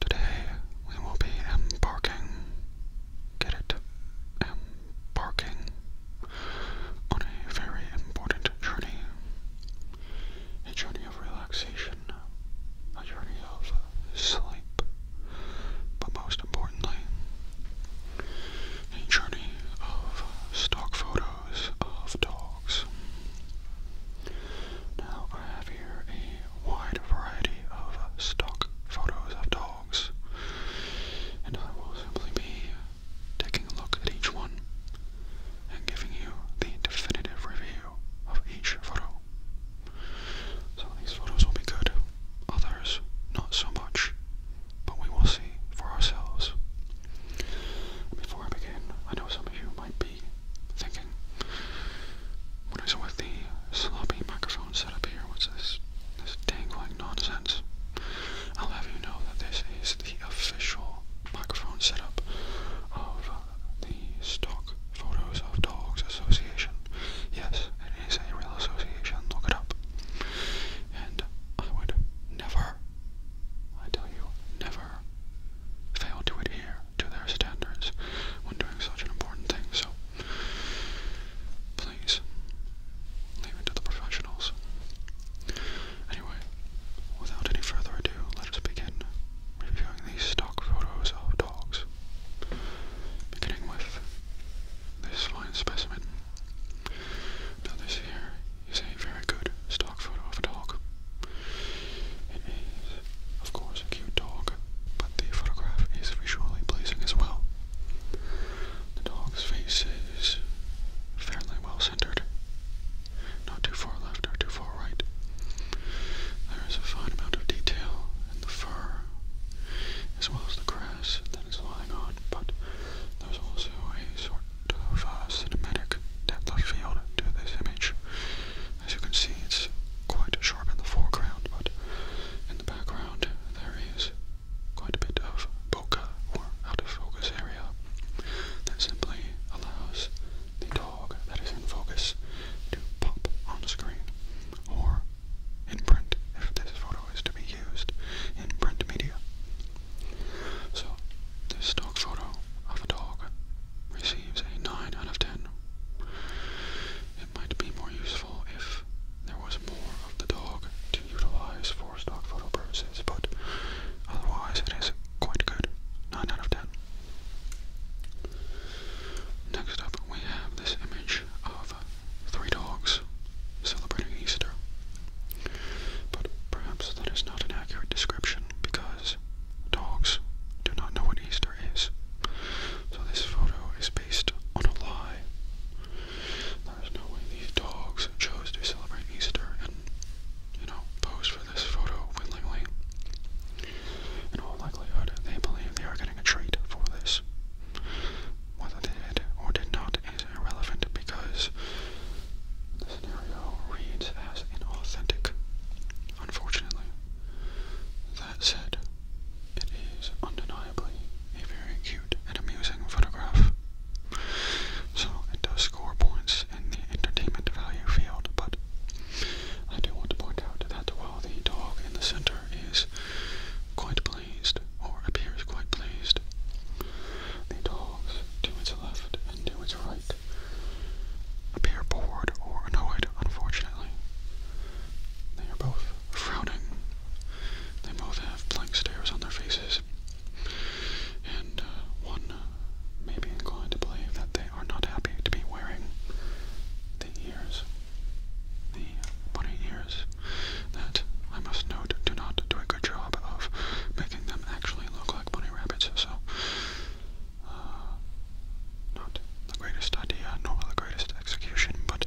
Today we will be embarking, get it, embarking on a very important journey. A journey of relaxation, a journey of sleep, but most importantly, a journey of stock photos of dogs. Now I have here a wide variety of stock photos of dogs, and I will simply be taking a look at each one and giving you the definitive review of each photo. Some of these photos will be good, others not so much, but we will see for ourselves. Before I begin, I know some of you might be thinking thinking. What is with the sloppy microphone setup here? What's this? This dangling nonsense. I'll have you know that this is the official microphone setup of the Stock Photos of Dogs Association. Yes, it is a real association. Look it up. And I would never, I tell you, never fail to adhere to their standards when doing such an important thing. So please leave it to the professionals. Anyway, without any further ado, let us begin reviewing these stock photos of dogs. Beginning with this fine specimen. Now this here is a very good stock photo of a dog. It is, of course, a cute dog, but the photograph is visually pleasing as well. The dog's face is fairly well centered, not too far left or too far right. There is a fine amount of detail in the fur, as well as the grass that is lying on, but there's also a sort of uh, cinematic depth of field to this image. As you can see, it's quite sharp in the foreground, but in the background there is quite a bit of bokeh or out of focus area that simply allows the dog that is in focus to pop on the screen or in print if this photo is to be used in print media. So, this dog photo of a dog received receives a 9 out of 10. It might be more useful if there was more of the dog to utilize for stock photo purposes, but otherwise it is quite good. 9 out of 10. Next up, we have this image of three dogs celebrating Easter. But perhaps that is not an accurate description because Dogs do not know what Easter is. So this photo is based on a lie. There's no way these dogs chose to celebrate Easter and, you know, pose for this photo willingly. In all likelihood, they believe they are getting a treat for this. Whether they did or did not is irrelevant because the scenario reads as inauthentic unfortunately. That said, it is undeniably a very cute and amusing photograph. So it does score points in the entertainment value field, but I do want to point out that while the dog in the center is quite pleased, or appears quite pleased, the dogs to its left and to its right appear bored or annoyed, unfortunately. They are both frowning. They both have blank stares on their faces. And uh, one may be inclined to believe that they are not happy to be wearing the ears, the bunny ears, that I must note do not do a good job of making them actually look like bunny rabbits, so uh, not the greatest idea, nor the greatest execution, but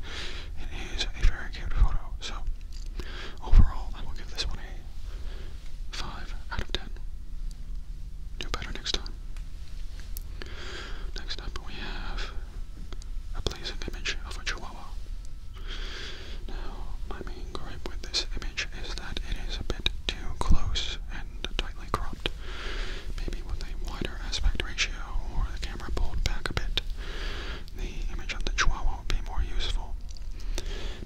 it is a very cute photo. So, overall, I will give this one a 5 out of 10. Do better next time. Next up, we have a pleasing image of a chihuahua. Now, my main gripe with this image is that it is a bit too close and tightly cropped, maybe with a wider aspect ratio or the camera pulled back a bit, the image of the Chihuahua would be more useful.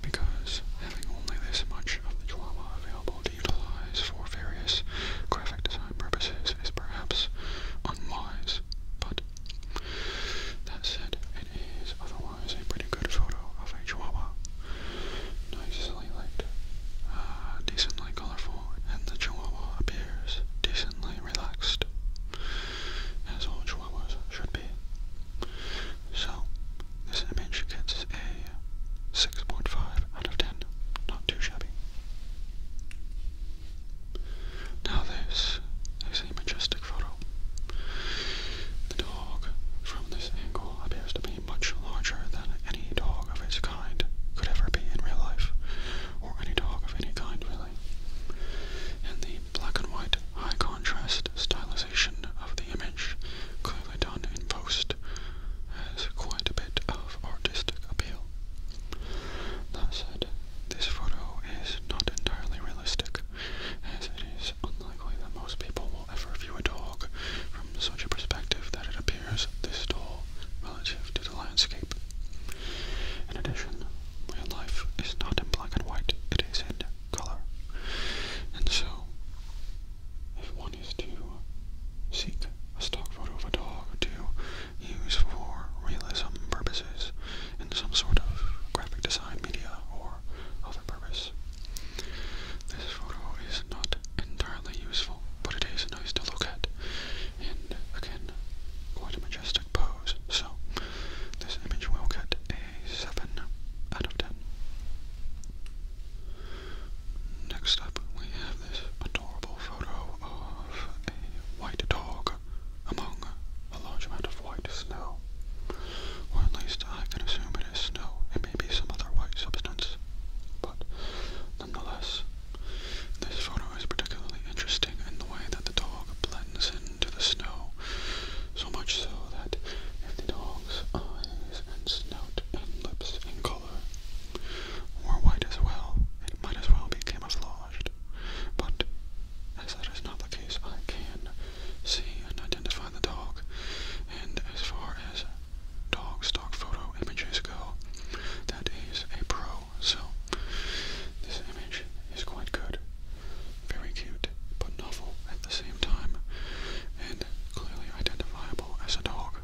Because having only this much of the Chihuahua available to utilize for various graphic design purposes is perhaps unwise, but that said, it is otherwise a pretty good photo of a Chihuahua. Nice light, uh, decently colorful, and the chihuahua appears decently relaxed, as all chihuahuas should be. So, this image gets a 6.5 out of 10, not too shabby. Now this is a majestic photo. The dog from this angle appears to be much larger than any dog of its kind could ever be in real life, or any dog of any kind really. And the black and white high contrast stylization of the image, clearly done in post, has quite a bit of artistic appeal. That said, this photo is not entirely realistic, as it is unlikely that most people will will ever view a dog from such a perspective that it appears this tall relative to the landscape. In addition, real life is not in black and white, it is in color. And so, if one is to seek a stock photo of a dog to use for realism purposes in some sort of graphic design media or other purpose, this photo is not entirely useful, but it is nice to look at, and again, quite majestic pose. So, this image will get a 7 out of 10. Next up, we have this adorable photo of a white dog among a large amount of white snow. Or at least I can assume it is snow. It may be some other white substance. But nonetheless, this photo is particularly interesting in the way that the dog blends into the snow, so much so that if the dog's eyes and snout and lips in color were white as well, it might as well be camouflaged. But as that is not the case, I can see and identify the dog, and as far as dog stock photo images go, that is a pro. So this image is quite good, very cute, but novel at the same time, and clearly identifiable as a dog.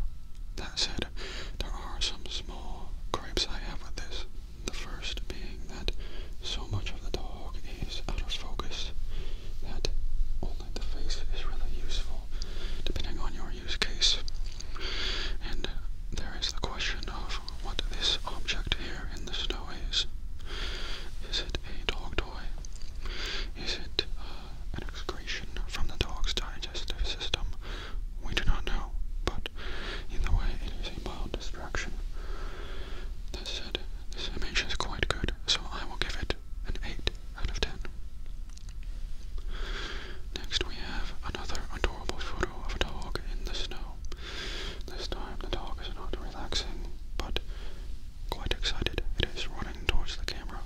That said, there are some small gripes I have with this. The first being that so much of the dog is out of focus that oh, the face is really useful depending on your use case. And there is the question of what this object here in the snow is. Is it a dog toy? Is it uh, an excretion from the dog's digestive system? We do not know, but in the way, it is a mild distraction. That said, this image is quite good, so I will give it an 8 out of 10. Next, we have another adorable photo of a dog in the snow. This time, the dog is not relaxing, but quite excited. It is running towards the camera,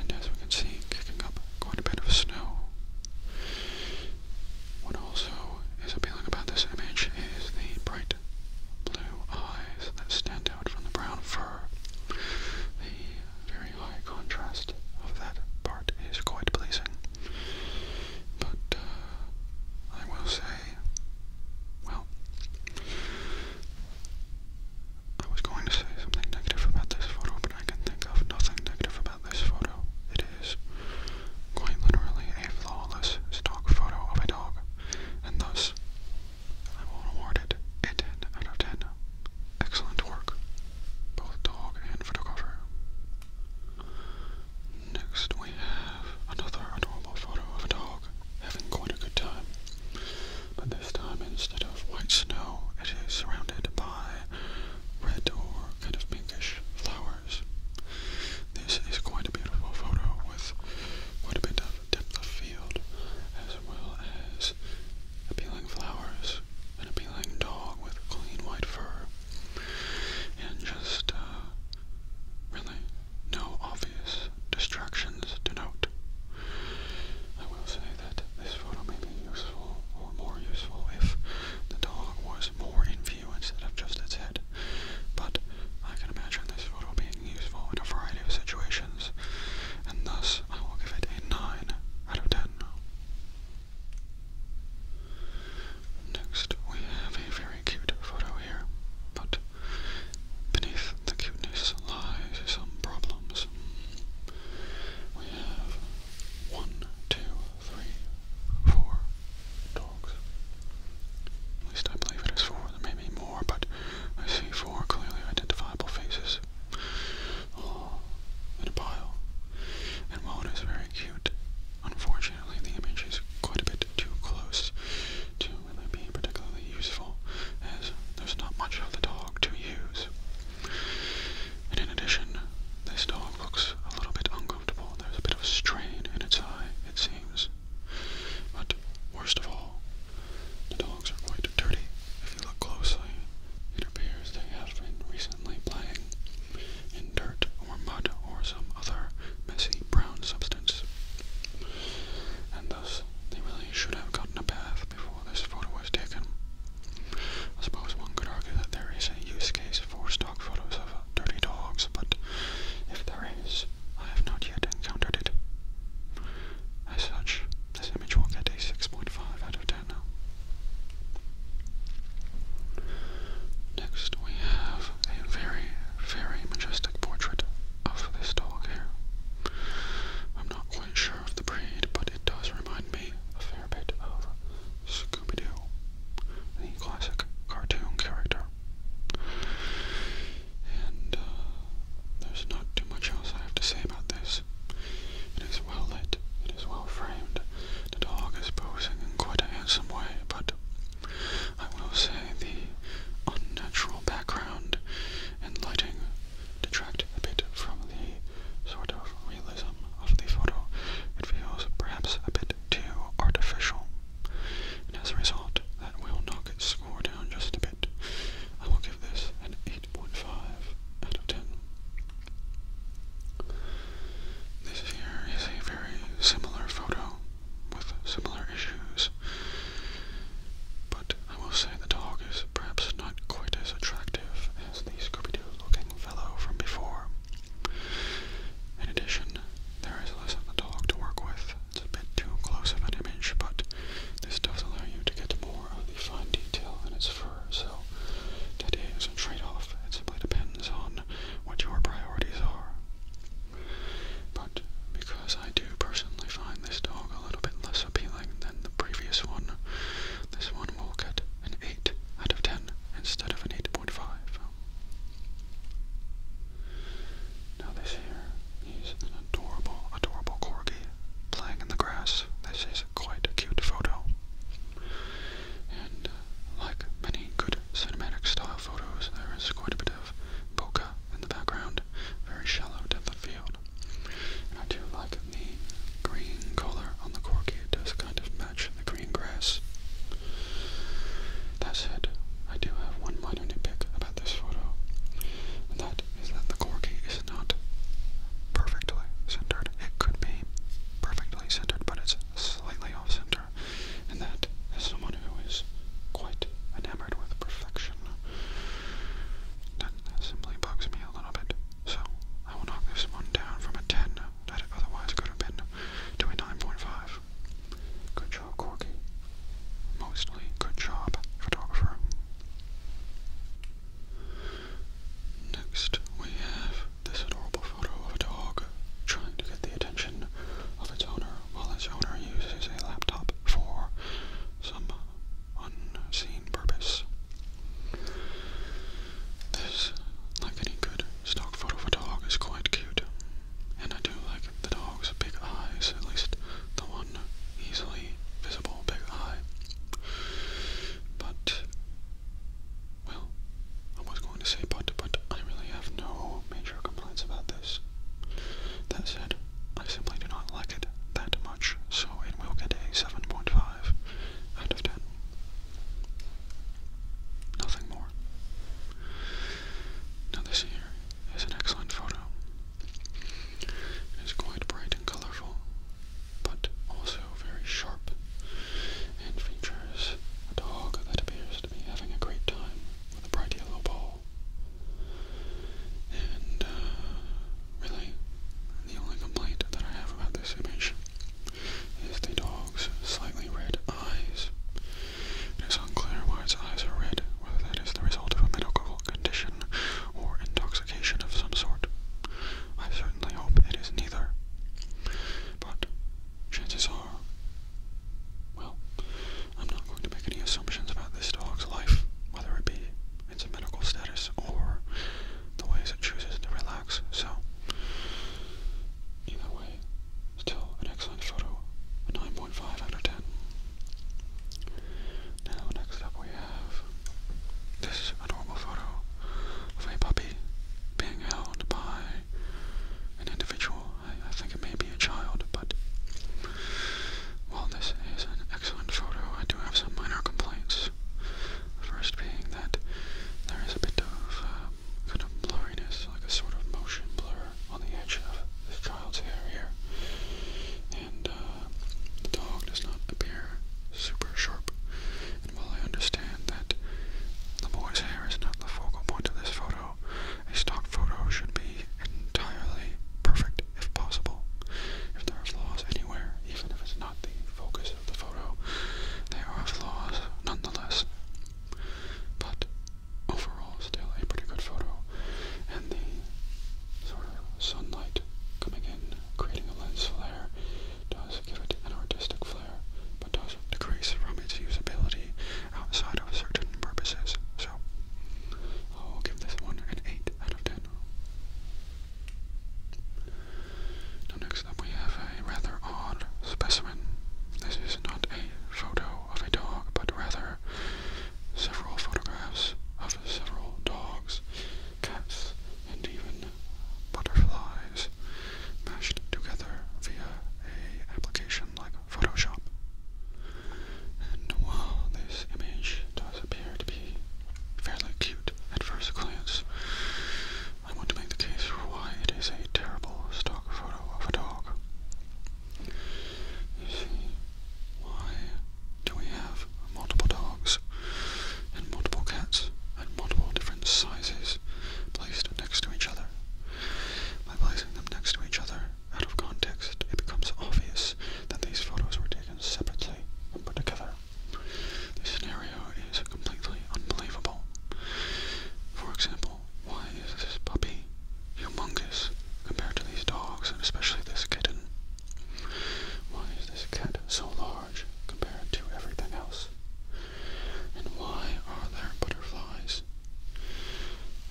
and as we can see, kicking up quite a bit of snow. What also is appealing about this image is the bright blue eyes that stand out out from the brown fur. The very high contrast of that part is quite pleasing. But uh, I will say, well, I was going to say something negative about this photo, but I can think of nothing negative about this photo. It is quite literally a flawless stock photo of a dog, and thus I will award it a 10 out of 10. Excellent work, both dog and photographer. Next, we have another adorable photo of a dog having quite a good time. But this time, instead of white snow, it is surrounded by red or kind of pinkish flowers. This is quite a beautiful photo with quite a bit of depth of field, as well as appealing flowers, an appealing dog with clean white fur, and just uh, really no obvious distractions to note. I will say that this photo may be useful or more useful if the dog was more in view instead of just its head. But I can imagine this photo being useful in a variety of situations, and thus I will give it a 9 out of 10. Next, we have a very cute photo here, but beneath the cuteness lies some problems. We have one, two, three, four dogs. At least I believe it is four, there may be more, but I see four clearly identifiable faces all in a pile, and while it is very cute, unfortunately the image is quite a bit too close to really be particularly useful, as there's not much of the dog to use. And in addition, this dog looks a little bit uncomfortable. There's a bit of strain in its eye, it seems. But worst of all, the dogs are quite dirty. If you look closely, it appears they have been recently playing in dirt or mud or some other messy brown substance. And thus, they really should have gotten a bath before this photo was taken. I suppose one could argue that there is a use case for stock photos of dirty dogs, but if there is, I have not yet encountered it. As such, this image will get a 6.5 out of 10 Next, we have a very, very majestic portrait of this dog here. I'm not quite sure of the breed, but it does remind me a fair bit of Scooby Doo, the classic cartoon character and uh, there's not too much else I have to say about this. It is well lit, it is well framed, the dog is posing in quite a handsome way, but I will say the unnatural background and lighting detract a bit from the sort of realism of the photo. It feels perhaps a bit too artificial, and as a result, that will knock its score down just a bit. I will give this an 8.5 out of 10. This here is a very similar photo with similar issues, but I will say the dog is perhaps not quite as attractive as the Scooby-Doo looking fellow from before. In addition, there is less of the dog to work with, it's a bit too close of an image, but this does allow you to get more of the fine detail in its fur, so that is a trade-off. It simply depends on what your priorities are. But because I do personally find this dog a little bit less appealing than the previous one, this one will get an 8 out of 10 instead of an 8.5. Now this here He's an adorable, adorable corgi playing in the grass. This is quite a cute photo. And uh, like many good cinematic style photos, there is quite a bit of bokeh in the background, very shallow depth of field. I do like the green color on the corgi, it does kind of match the green grass. That said, I do have one minor nitpick about this photo, that is that the corgi is not perfectly centered. It could be perfectly centered, but it's slightly off center, and that as someone who is quite enamored with perfection, simply bugs me a little bit. So I will knock this one down from a 10 that it otherwise could have been to a 9.5. Good Joe Corky, mostly good job photographer. Next, we have this adorable photo of a dog trying to get the attention of its owner while its owner uses a laptop for some unseen purpose. This, like any good stock photo of a dog, is quite cute, and I do like the dog dog's big eyes, at least the one easily visible big eye. But, well, I was going to say but, but I really have no major complaints about this. That said, I simply do not like it that much, so it will get a 7.5 out of 10. Nothing more. Now this here is an excellent photo. It is quite bright and colorful, but also very sharp, and features a dog that appears to be having a great time with a bright yellow ball. And uh, really, the only complaint that I have about this image is the dog's slightly red eyes. It is unclear why its eyes are red, whether that is the result of a medical condition or intoxication of some sort. I certainly hope it is neither. But chances are, well, I'm not going to make any assumptions about this dog's life, whether it be its medical status or the ways it chooses to relax, so either way, still an excellent photo, a 9.5 out of 10. Now, next up we have this adorable photo of a puppy being held by an individual. I, think it may be a child, but while this is an excellent photo, I do have some minor complaints. First being that there is a bit of um, kind of blurriness, like a sort of motion blur on the edge of this child's hair here and uh, the dog does not appear super sharp. And while I understand that the boy's hair is not the focal point of this photo, a stock photo should be entirely perfect if possible. If there are flaws anywhere, even if it's not the focus of the photo, there are flaws nonetheless. But overall, still a pretty good photo, and the sort of sunlight coming in, creating a lens flare, does give it an artistic flair, but does decrease from its usability outside of certain purposes. So, I'll give this one an 8 out of 10. next up we have a rather odd specimen. This is not a photo of a dog, but rather several photographs of several dogs, cats, and even butterflies mashed together via a application like Photoshop. And while this image does appear to be fairly cute at first glance, I want to make the case for why it is a terrible stock photo of a dog. Why do we have multiple dogs and multiple cats and multiple different sizes placed next to each other? By placing them next to each other out of context, it becomes obvious that these photos were taken separately and put together. This scenario is completely unbelievable. For example, why is this puppy humongous compared to these dogs, and especially this kitten. Why is this cat so large compared to everything else? And why are there butterflies?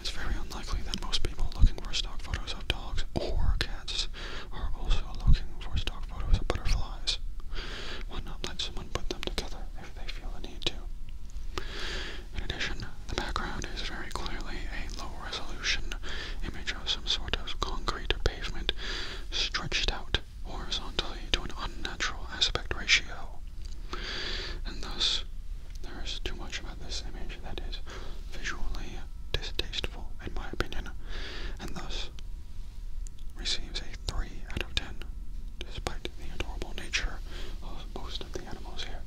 It's very unlikely that most people looking for stock photos of dogs or cats are also looking for stock photos of butterflies. Why not let someone put them together if they feel the need to? In addition, the background is very clearly a low-resolution image of some sort of concrete pavement stretched out horizontally to an unnatural aspect ratio. And thus, there is too much about this image that is visually distasteful, in my opinion, and thus receives a 3 out of 10, despite the adorable nature of most of the animals here.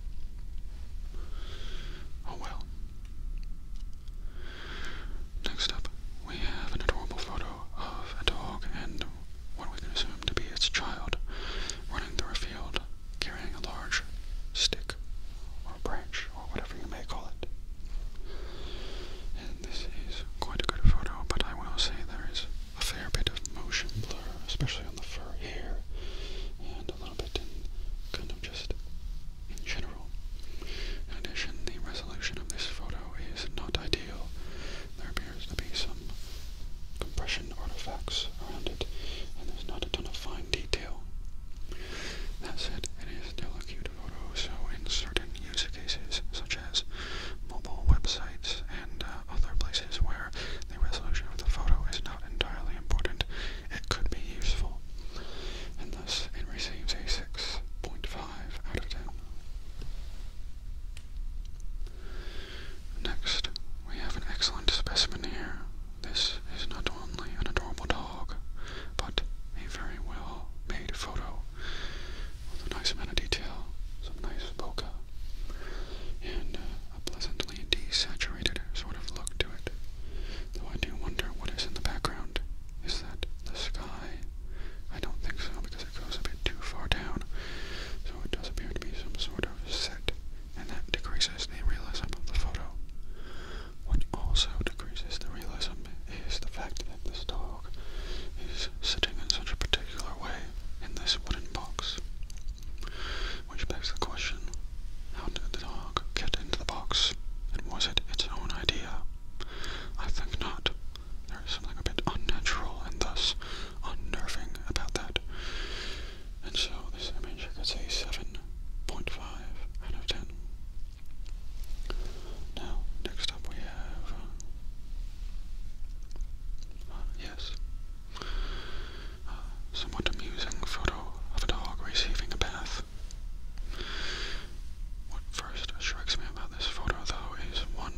Oh well. Next up, we have an adorable photo of a dog and what we can assume to be its child running through a field carrying a large stick or branch or whatever you may call it. And this is quite a good photo, but I will say there is a fair bit of motion blur, especially on the fur here and a kind of just general. In addition, the resolution of this photo is not ideal. There appears to be some compression artifacts around it, and there's not a ton of fine detail. That said, it is still a cute photo, so in certain use cases, such as mobile websites and uh, other places where the resolution of the photo is not entirely important, it could be useful, and thus it receives a 6.5 out of 10. Next, we have an excellent specimen here. This is not only an adorable dog, but a very well made photo with a nice amount of detail, some nice bokeh, and uh, a pleasantly desaturated sort of look to it. Though I do wonder what is in the background. Is that the sky? I don't think so because it goes a bit too far down, so it does appear to be some sort of set, and that decreases the realism of the photo. What also decreases the realism is the fact that this dog is sitting in such a particular way in this wooden box. Which begs the question how did the dog get into the box? And was it its own idea? I think not. There is something a bit unnatural and thus unnerving about that. And so this image gets a 7.5 out of 10. Now, next up we have. Uh, yes, somewhat amusing photo of a dog receiving a bath. What first strikes me about this photo, though, is one,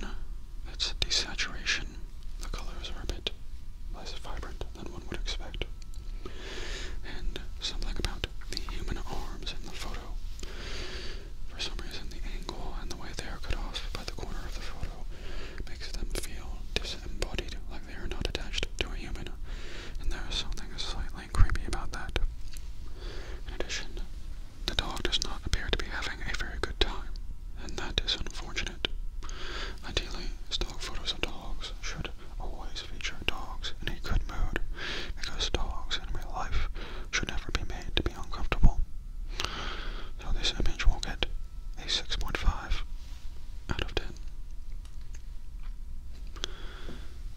its desaturation. The colors are a bit less vibrant than one would expect. And something about the human arms in the photo. For some reason, the angle and the way they are cut off by the corner of the photo makes them feel dis embodied, like they are not attached to a human, and there is something slightly creepy about that. In addition, the dog does not appear to be having a very good time, and that is unfortunate. Ideally, stock photos of dogs should always feature dogs in a good mood, because dogs in real life should never be made to be uncomfortable. So this image will get a 6.5 out of 10.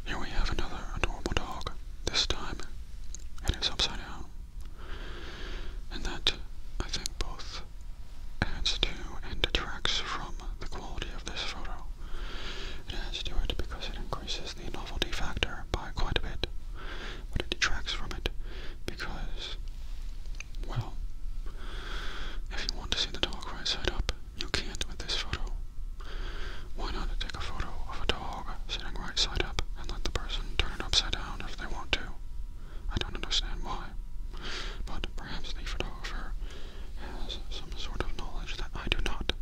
Here we have another adorable dog, this time it is upside down. And that, I think, both adds to and detracts from the quality of this photo. It adds to it because it increases the novelty factor by quite a bit, but it detracts from it because well, if you want to see the dog right side up, you can't with this photo. Why not take a photo of a dog sitting right side up and let the person turn it upside down if they want to? I don't understand why, but perhaps the photographer has some sort of knowledge that I do not.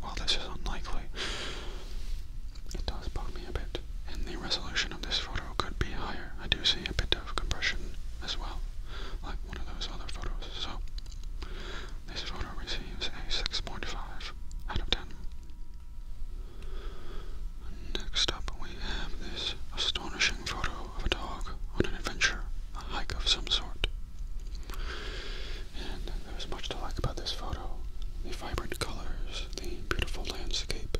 While this is unlikely, it does bug me a bit in the resolution of this photo could be higher. I do see a bit of compression as well, like one of those other photos. So this photo receives a 6.5 out of 10. Next up we have this astonishing photo of a dog on an adventure, a hike of some sort. And there's much to like about this photo. The vibrant colors, the beautiful landscape,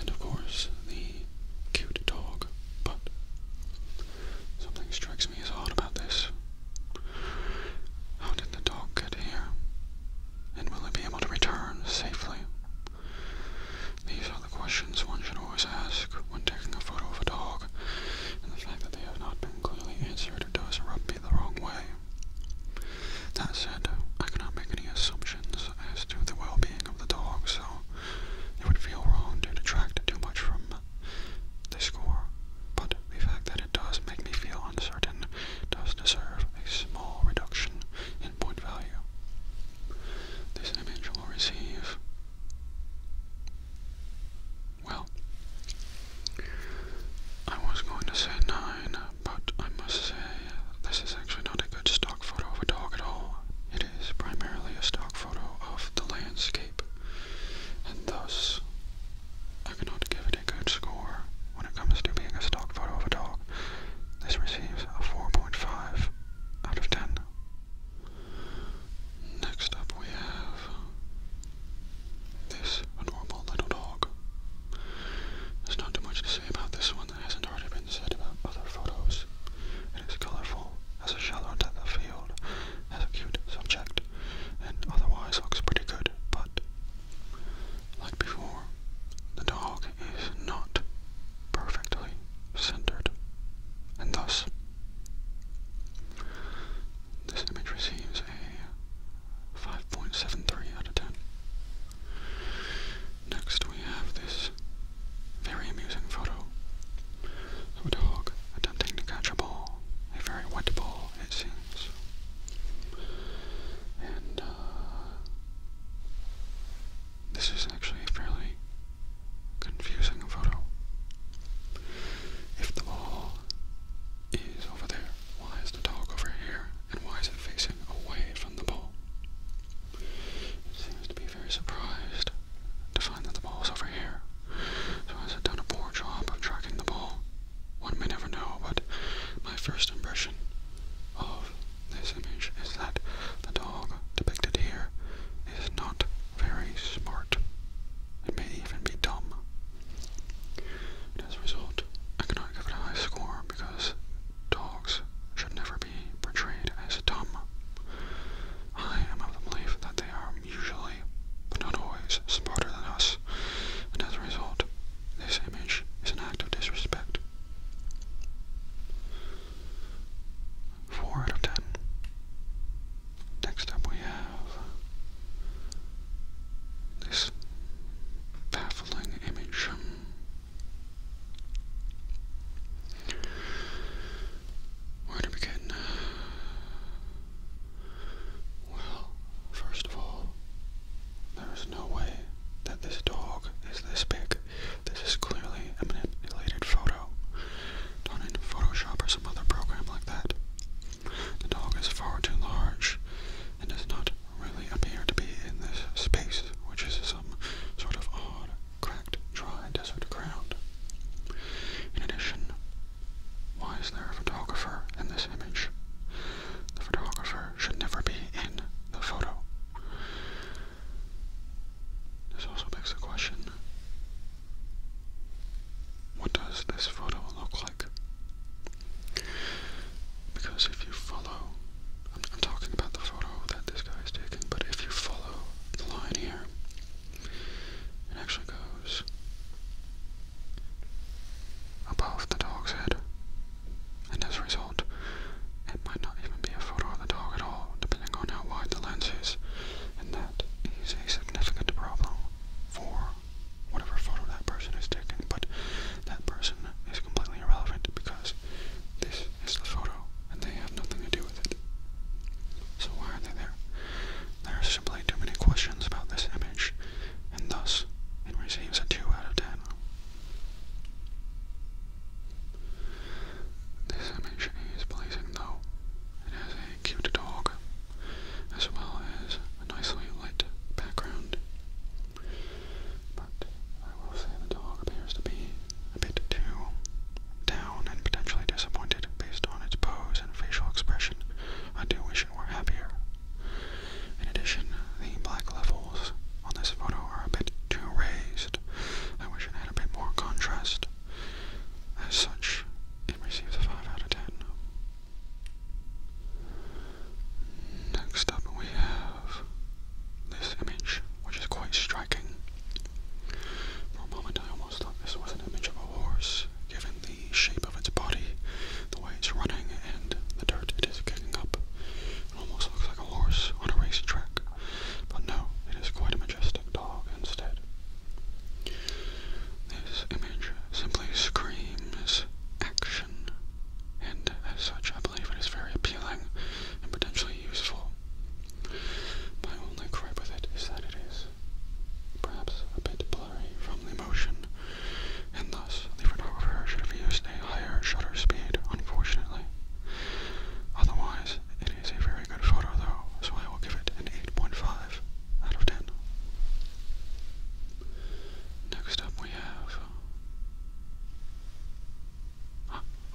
and of course, the cute dog. But something strikes me as odd about this. How did the dog get here? And will it be able to return safely? These are the questions one should always ask when taking a photo of a dog, and the fact that they have not been clearly answered does rub me the wrong way. That said, I cannot make any assumptions as to the well-being of the dog, so it would feel wrong to detract too much from the score, but the fact that it does make me feel uncertain does deserve a small reduction in point value. This image will receive, well, I was going to say 9, but I must say this is actually not a good start photo of a dog at all. It is primarily a stock photo of the landscape, and thus I cannot give it a good score when it comes to being a stock photo of a dog. This receives a 4.5 out of 10. Next up we have this adorable little dog. There's not too much to say about this one that hasn't already been about other photos. It is colorful, has a shallow depth of field, has a cute subject, and otherwise looks pretty good, but like before, the dog is not perfectly centered, and thus this image receives a 5.73 out of 10. Next we have this very amusing photo a dog attempting to catch a ball, a very wet ball, it seems. And uh, this is actually a fairly confusing photo. If the ball is over there, why is the dog over here, and why is it facing away from the ball? It seems to be very surprised to find that the ball is over here. So has it done a poor job of tracking the ball? One may never know, but my first impression of this image is that the dog depicted here is not very smart. It may even be dumb. as a result, I cannot give it a high score because Dogs should never be portrayed as dumb. I am of the belief that they are usually, but not always, smarter than us, and as a result, this image is an act of disrespect. 4 out of 10. Next up we have this baffling image. Where to begin? Well, first of all, there is no way that this dog is this big. This is clearly a manipulated photo done in Photoshop or some other program like that. The dog is far too large and does not really appear to be in this space, which is some sort of odd cracked, dry desert ground. In addition, why is there a photographer in this image? The photographer should never be in the photo. This also begs the question, what does this photo look like? Because if you follow I'm, talking about the photo that this guy is taking, but if you follow the line here, it actually goes above the dog's head, and as a result, it might not even be a photo of the dog at all, depending on how wide the lens is, and that is a significant problem for whatever photo that person is taking, but that person is completely irrelevant because this it's the photo, and they have nothing to do with it. So why are they there? There are simply too many questions about this image, and thus it receives a 2 out of 10. This image is pleasing though. It has a cute dog, as well as a nicely lit background. But I will say the dog appears to be a bit too down and potentially disappointed based on its pose and facial expression. I do wish it were happier. In addition, the black levels on this photo are a bit too raised. I wish it had a bit more contrast. As such, it receives a 5 out of 10. Next up we have this image, which is quite striking. For a moment I almost thought this was an image of a horse, given the shape of its body, the way it's running, and the dirt it is kicking up. It almost looks like a horse on a racetrack, but no, it is quite a majestic dog instead. This image simply screams action, and as such I believe it is very appealing and potentially useful. My only gripe with it is that it is perhaps a bit blurry from the motion, and thus the photographer should have used a higher shutter speed, unfortunately. Otherwise, it is a very good photo though, so I will give it an 8.5 out of 10. Next up we have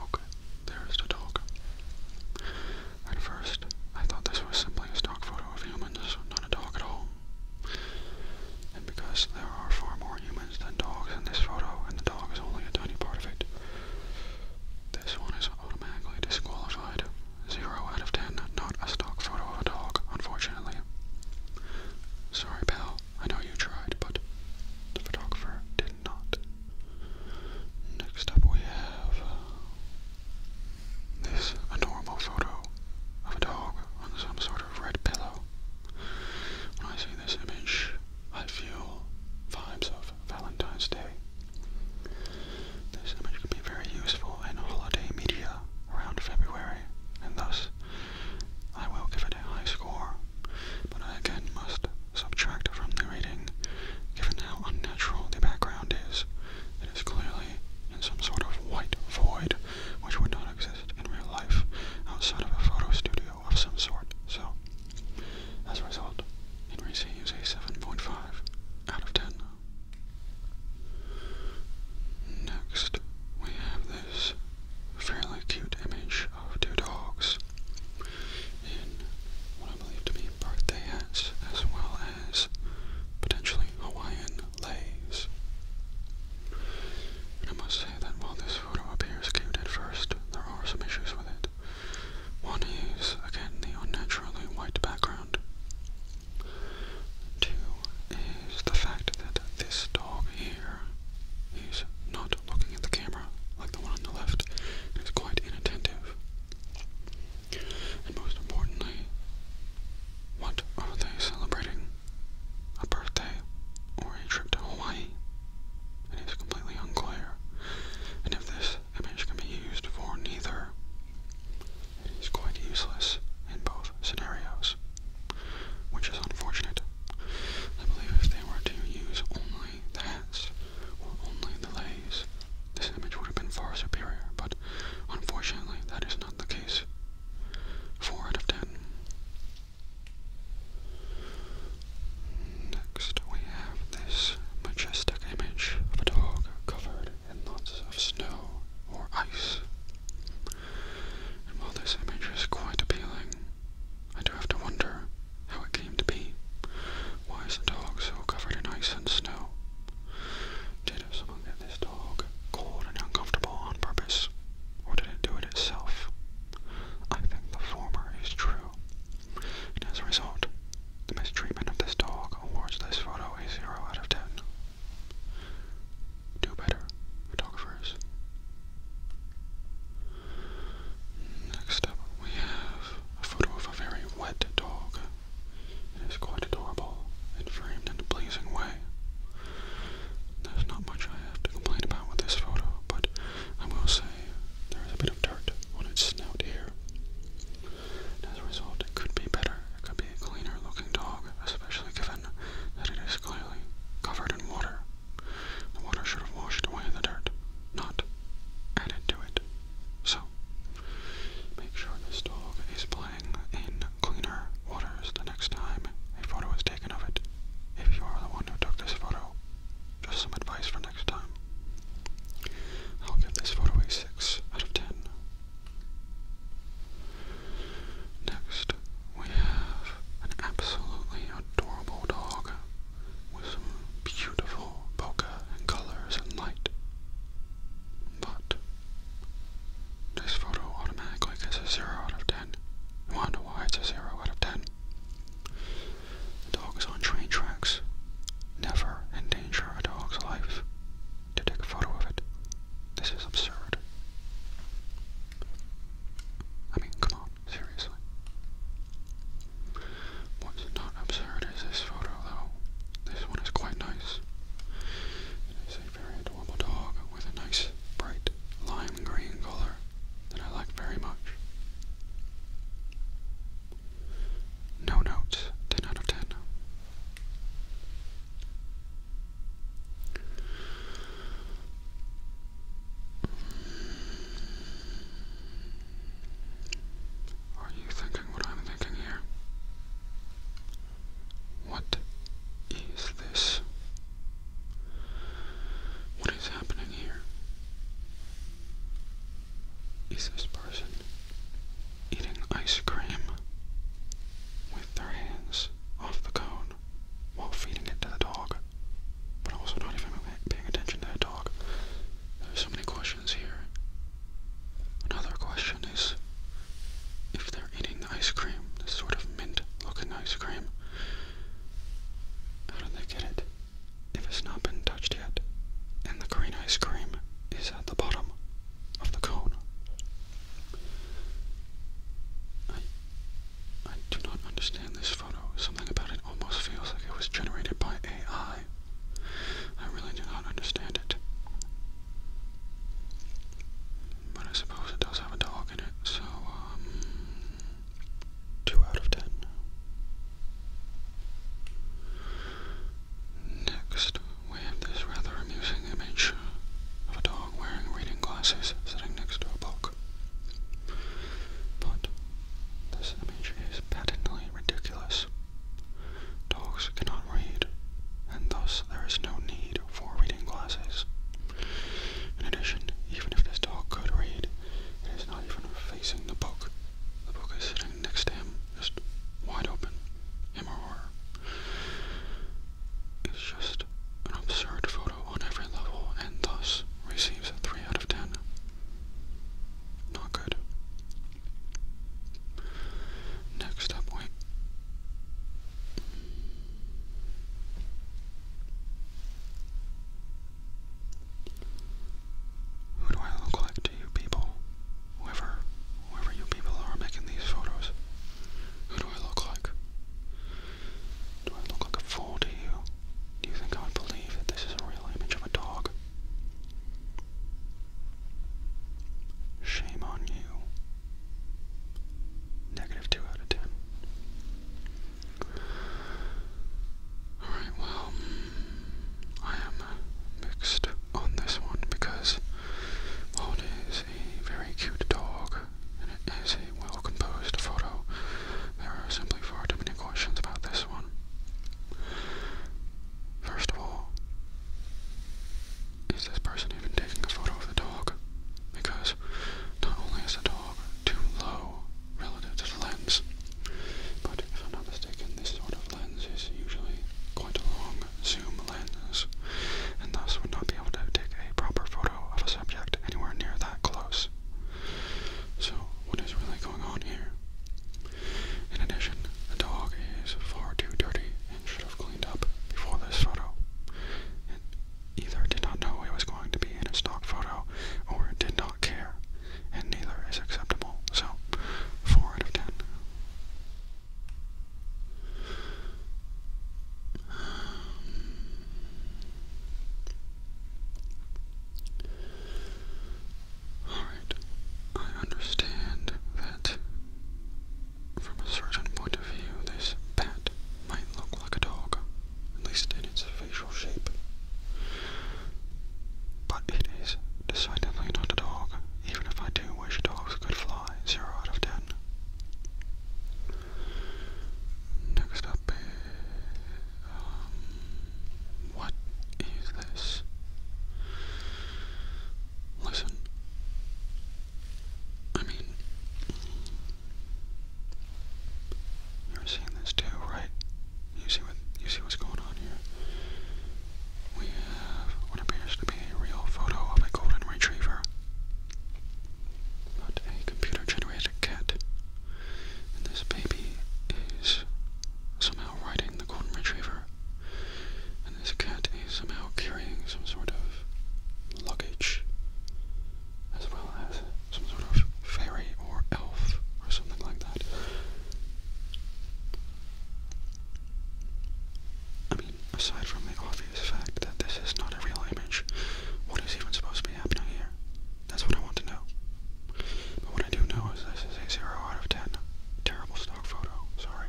okay, there's the dog. At first, I thought this was simply a stock photo of humans, not a dog at all. And because there are far more humans than dogs in this photo, and the dog is only a tiny part of it, this one is automatically disqualified. Zero out of ten, not a stock photo of a dog, unfortunately. Sorry, pal, I know you tried, but the photographer did not. Next up, we have uh, this adorable photo of a dog on some sort of red pillow. When I see this image, I feel vibes of Valentine's Day. This image could be very useful in holiday media around February, and thus I will give it a high score, but I again must subtract from the rating, given how unnatural the background is. It is clearly in some sort of white void, which would not exist in real life outside of a photo studio of some sort. So, as a result, it receives a 7.5 out of 10. Next, we have this fairly cute image of oh, two dogs in what I believe to be birthday hats as well as potentially Hawaiian leis. I must say that while this photo appears cute at first, there are some issues with it. One is, again, the unnaturally white background. Two is the fact that this dog here he's not looking at the camera like the one on the left and quite inattentive. And most importantly, what are they celebrating? A birthday or a trip to Hawaii? It is completely unclear. And if this image can be used for neither, it is quite useless in both scenarios, which is unfortunate. I believe if they were to use only the hats were only the this image would have been far superior, but unfortunately that is not the case. 4 out of 10. Next we have this majestic image of a dog covered in lots of snow or ice. And while this image is quite appealing, I do have to wonder how it came to be. Why is the dog so covered in ice and snow? Did someone get this dog cold and uncomfortable on purpose, or did it do it itself? I think the former is true, as a result, the mistreatment of this dog awards this photo a 0 out of 10. Do better, photographers. Next up, we have a photo of a very wet dog. It is quite adorable and framed in a pleasing way. There's not much I have to complain about with this photo, but I will say there is a bit of dirt on its snout here. as a result, it could be better. It could be a cleaner looking dog, especially given that it is clearly covered in water. The water should have washed away the dirt not added to it. So, make sure this dog is playing in cleaner waters the next time a photo is taken of it. If you are the one who took this photo, just some advice for next time. I'll give this photo a 6 out of 10. Next, we have an absolutely adorable dog with beautiful polka and colors and light. But this photo automatically gets a 0 out of 10. You want why it's a 0 out of 10? dog is on train tracks. Never endanger a dog's life to take a photo of it. This is absurd. I mean, come seriously. What's not absurd is this photo though. This one is quite nice. It is a very adorable dog with a nice bright lime green color that I like very much. No notes, 10 out of 10. Are you thinking what I'm thinking here? What is this? What is happening here? Is this person eating ice cream with their hands off the cone while feeding it to the dog? but also not even paying attention to that dog. There's so many questions here. Another question is if they're eating the ice cream, this sort of mint looking ice cream, how did they get it if it's not been touched yet? And the green ice cream is at the bottom of the cone. I do not understand this photo. Something about it almost feels like it was generated by AI. I really do not understand it. But I suppose it does have a dog in it, so, um, 2 out of 10. Next, we have this rather amusing image of a dog wearing reading glasses sitting next to a book. But this image is patently ridiculous. Dogs cannot read, and thus there is no need for reading glasses. In addition, even if this dog could read, it is not even facing the book. The book is sitting next to him, just wide open, him or her. It's just an absurd photo on every level and thus receives a three out of 10. Not good. Next up, wait. Who do I look like to you people? Whoever, whoever you people are making these photos. Who do I look like? Do I look like a fool to you? Do you think I would believe that this is a real image of a dog? Shame on you. Negative 2 out of 10. Alright, well, I am mixed on this one because Holiday a very cute dog and it is well-composed photo. There are simply far too many questions about this one. First of all, is this person even taking a photo of the dog? Because not only is the dog too low relative to the lens, but if I'm not mistaken, this sort of lens is usually quite a long zoom lens, and thus would not be able to take a proper photo of a subject anywhere near that close. So, what is really going on here? In addition, the dog is far too dirty and should have cleaned up before this photo. It either did not know it was going to be in a stock photo or it did not care, and neither is acceptable. So, 4 out of 10. Alright, I understand that from a certain point of view, this bat might look like a dog, at least in its facial shape. But it is decidedly not a dog, even if I do wish dogs could fly 0 out of 10. Next up um, what is this? Listen. I mean, you're seeing this too, right? You see what you see what's going on here. We have what appears to be a real photo of a golden retriever, but a computer-generated cat this baby is somehow riding the golden retriever. And this cat is somehow carrying some sort of luggage, as well as some sort of fairy or elf or something like that. I mean, aside from the obvious fact that this is not a real image, what is even supposed to be happening here? That's what I want to know. But what I do know is this is a 0 out of 10. Terrible stock photo, sorry.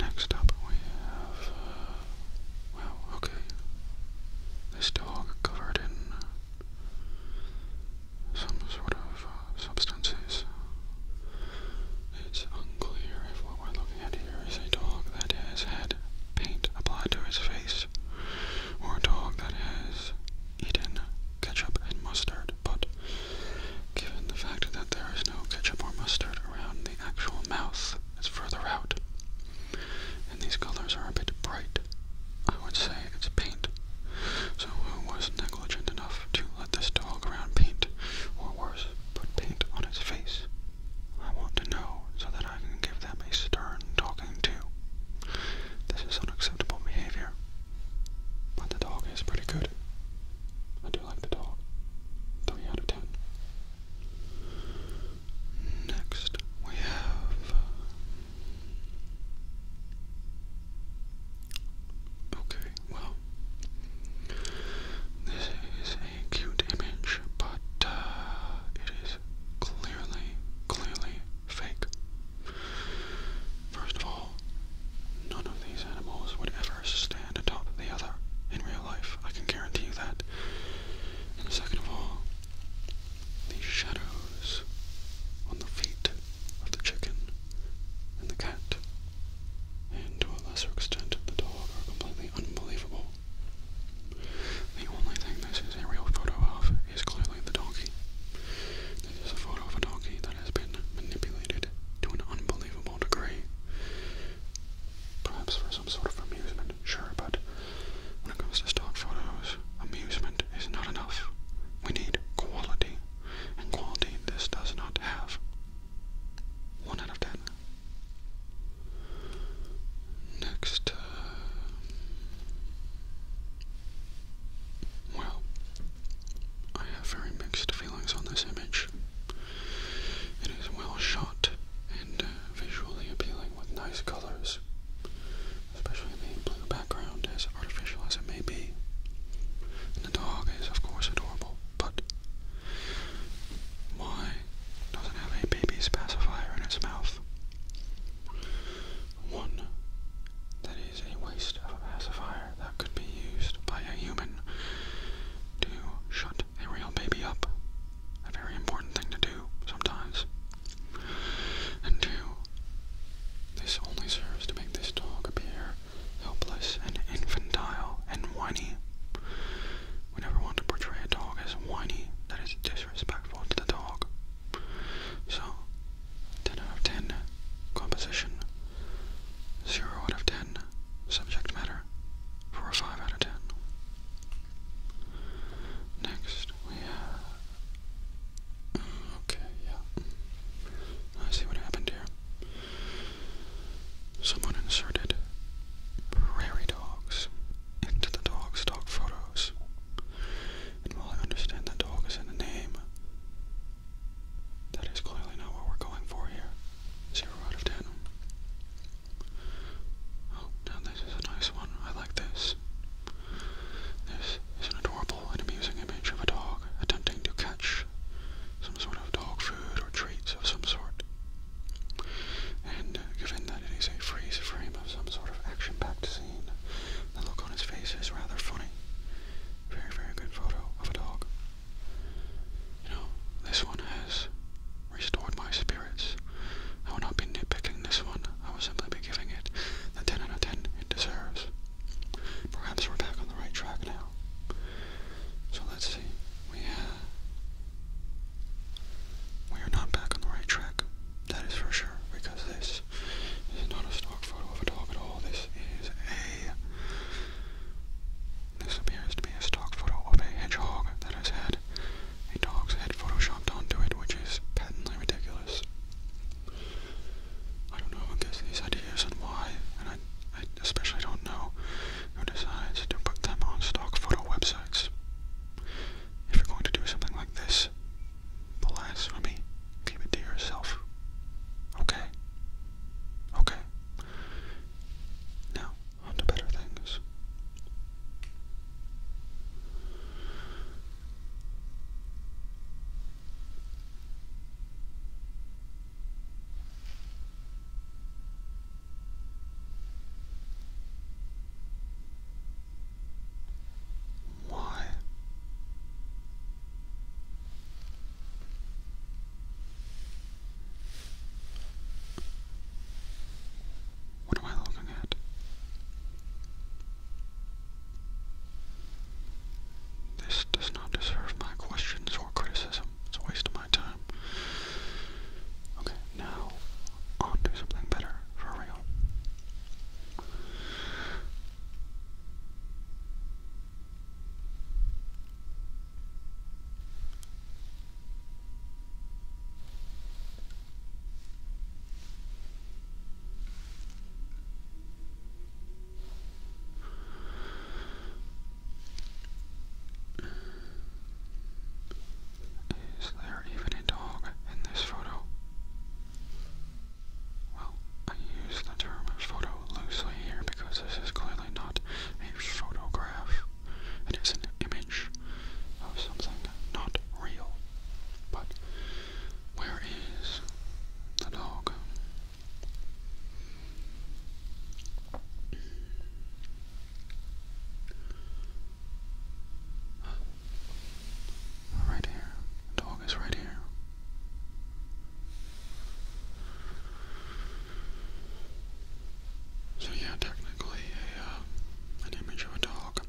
Next up we have, uh, okay. This dog covered in some sort of uh, substances. It's unclear if what we're looking at there is a dog that has had paint applied to his face, or a dog that has eaten ketchup and mustard, but given the fact that there is no ketchup or mustard around the actual mouth, it's further out, and these colors are a bit bright, I would say it's paint. So who was negligent enough to let this dog around paint, or worse, put paint on his face? I want to know so that I can give them a stern talking to. This is unacceptable behavior. But the dog is pretty good. I do like the dog. 3 out of 10. Next, we have. Uh, okay, well, this is a cute image, but uh, it is clearly, clearly fake. First of all, none of these animals would ever stand atop the other in real life. I can guarantee you that. And second of all, these shadows on the feet of the chicken and the cat, and to a lesser extent the dog, are completely unbelievable. The only thing this is a real photo of is clearly the donkey. This is a photo of a donkey that has been manipulated to an unbelievable degree. Perhaps for some sort of amusement, sure, but when it comes to stock photos, amusement is not enough. We need quality, and quality this does not have. 1 out of 10. Next uh, Well, I have very mixed feelings on this image. It is well shot and uh, visually appealing with nice colors, especially the blue background, as artificial as it may be. the dog is, of course, adorable, but why doesn't have a baby pacifier in its mouth? One, that is a waste of a pacifier that could be used by a human to shut a real baby up. A very important thing to do sometimes. And two, this only serves to make this dog appear helpless and infantile and whiny. We never want to portray a dog as whiny, that is disrespectful to the dog. So, 10 out of 10, composition, 0 out of 10, subject matter, for a 5 out of 10. Next, we have. Okay, yeah. I see what happened here. Someone inserted prairie dogs into the dog's dog photos. And while I understand that dog is in the name, that is clearly not what we're going for here. Zero out of ten. Oh, now this is a nice one. I like this. This is an adorable and amusing image of a dog attempting to catch some sort of dog food or treats of some sort. And uh, given that it is a freeze frame of some sort of action-packed scene, the look on his face is rather funny. Very, very good photo of a dog. You know, this one has restored my spirits. I will not be nitpicking this one. I will simply be giving it the 10 out of 10 it deserves. Perhaps we're back on the right track now. So let's see. We have we are not back on the right track, that is for sure, because this is not a stock photo of a dog at all. This is a. This appears to be a stock photo of a hedgehog that has had a dog's head photoshopped onto it, which is patently ridiculous. I don't know who gets these ideas and why, and I especially don't know who decides to put them on stock photo websites. If you're going to do something like this, alas for me, keep it to yourself. Okay? Okay. Now, on better things. Why? What am I looking at? This does not deserve my questions or criticism. It's a waste of my time. Okay, now I'll do something better for real. Is there even a dog in this photo? Well, I use the term photo loosely here because this is clearly not a photograph. It is an image of something not real. But where is the dog? Right here. The dog is right here. So yeah, technically uh, an image of a dog.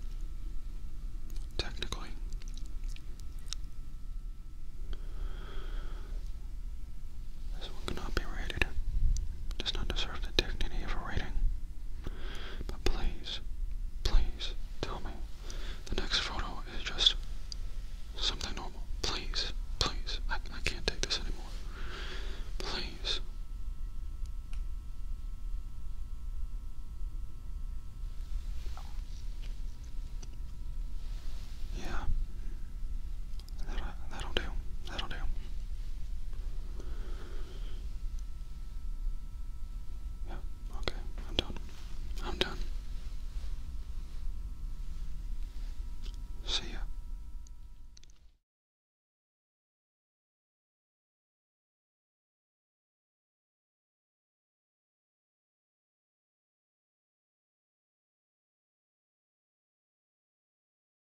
Technically. This one cannot be rated does not deserve the dignity of a rating. But please, please tell me the next photo is just something normal. Please, please, I, I can't take this anymore. Please. Yeah, That'll, do. That'll do. Yeah, okay. I'm done. I'm done. See ya.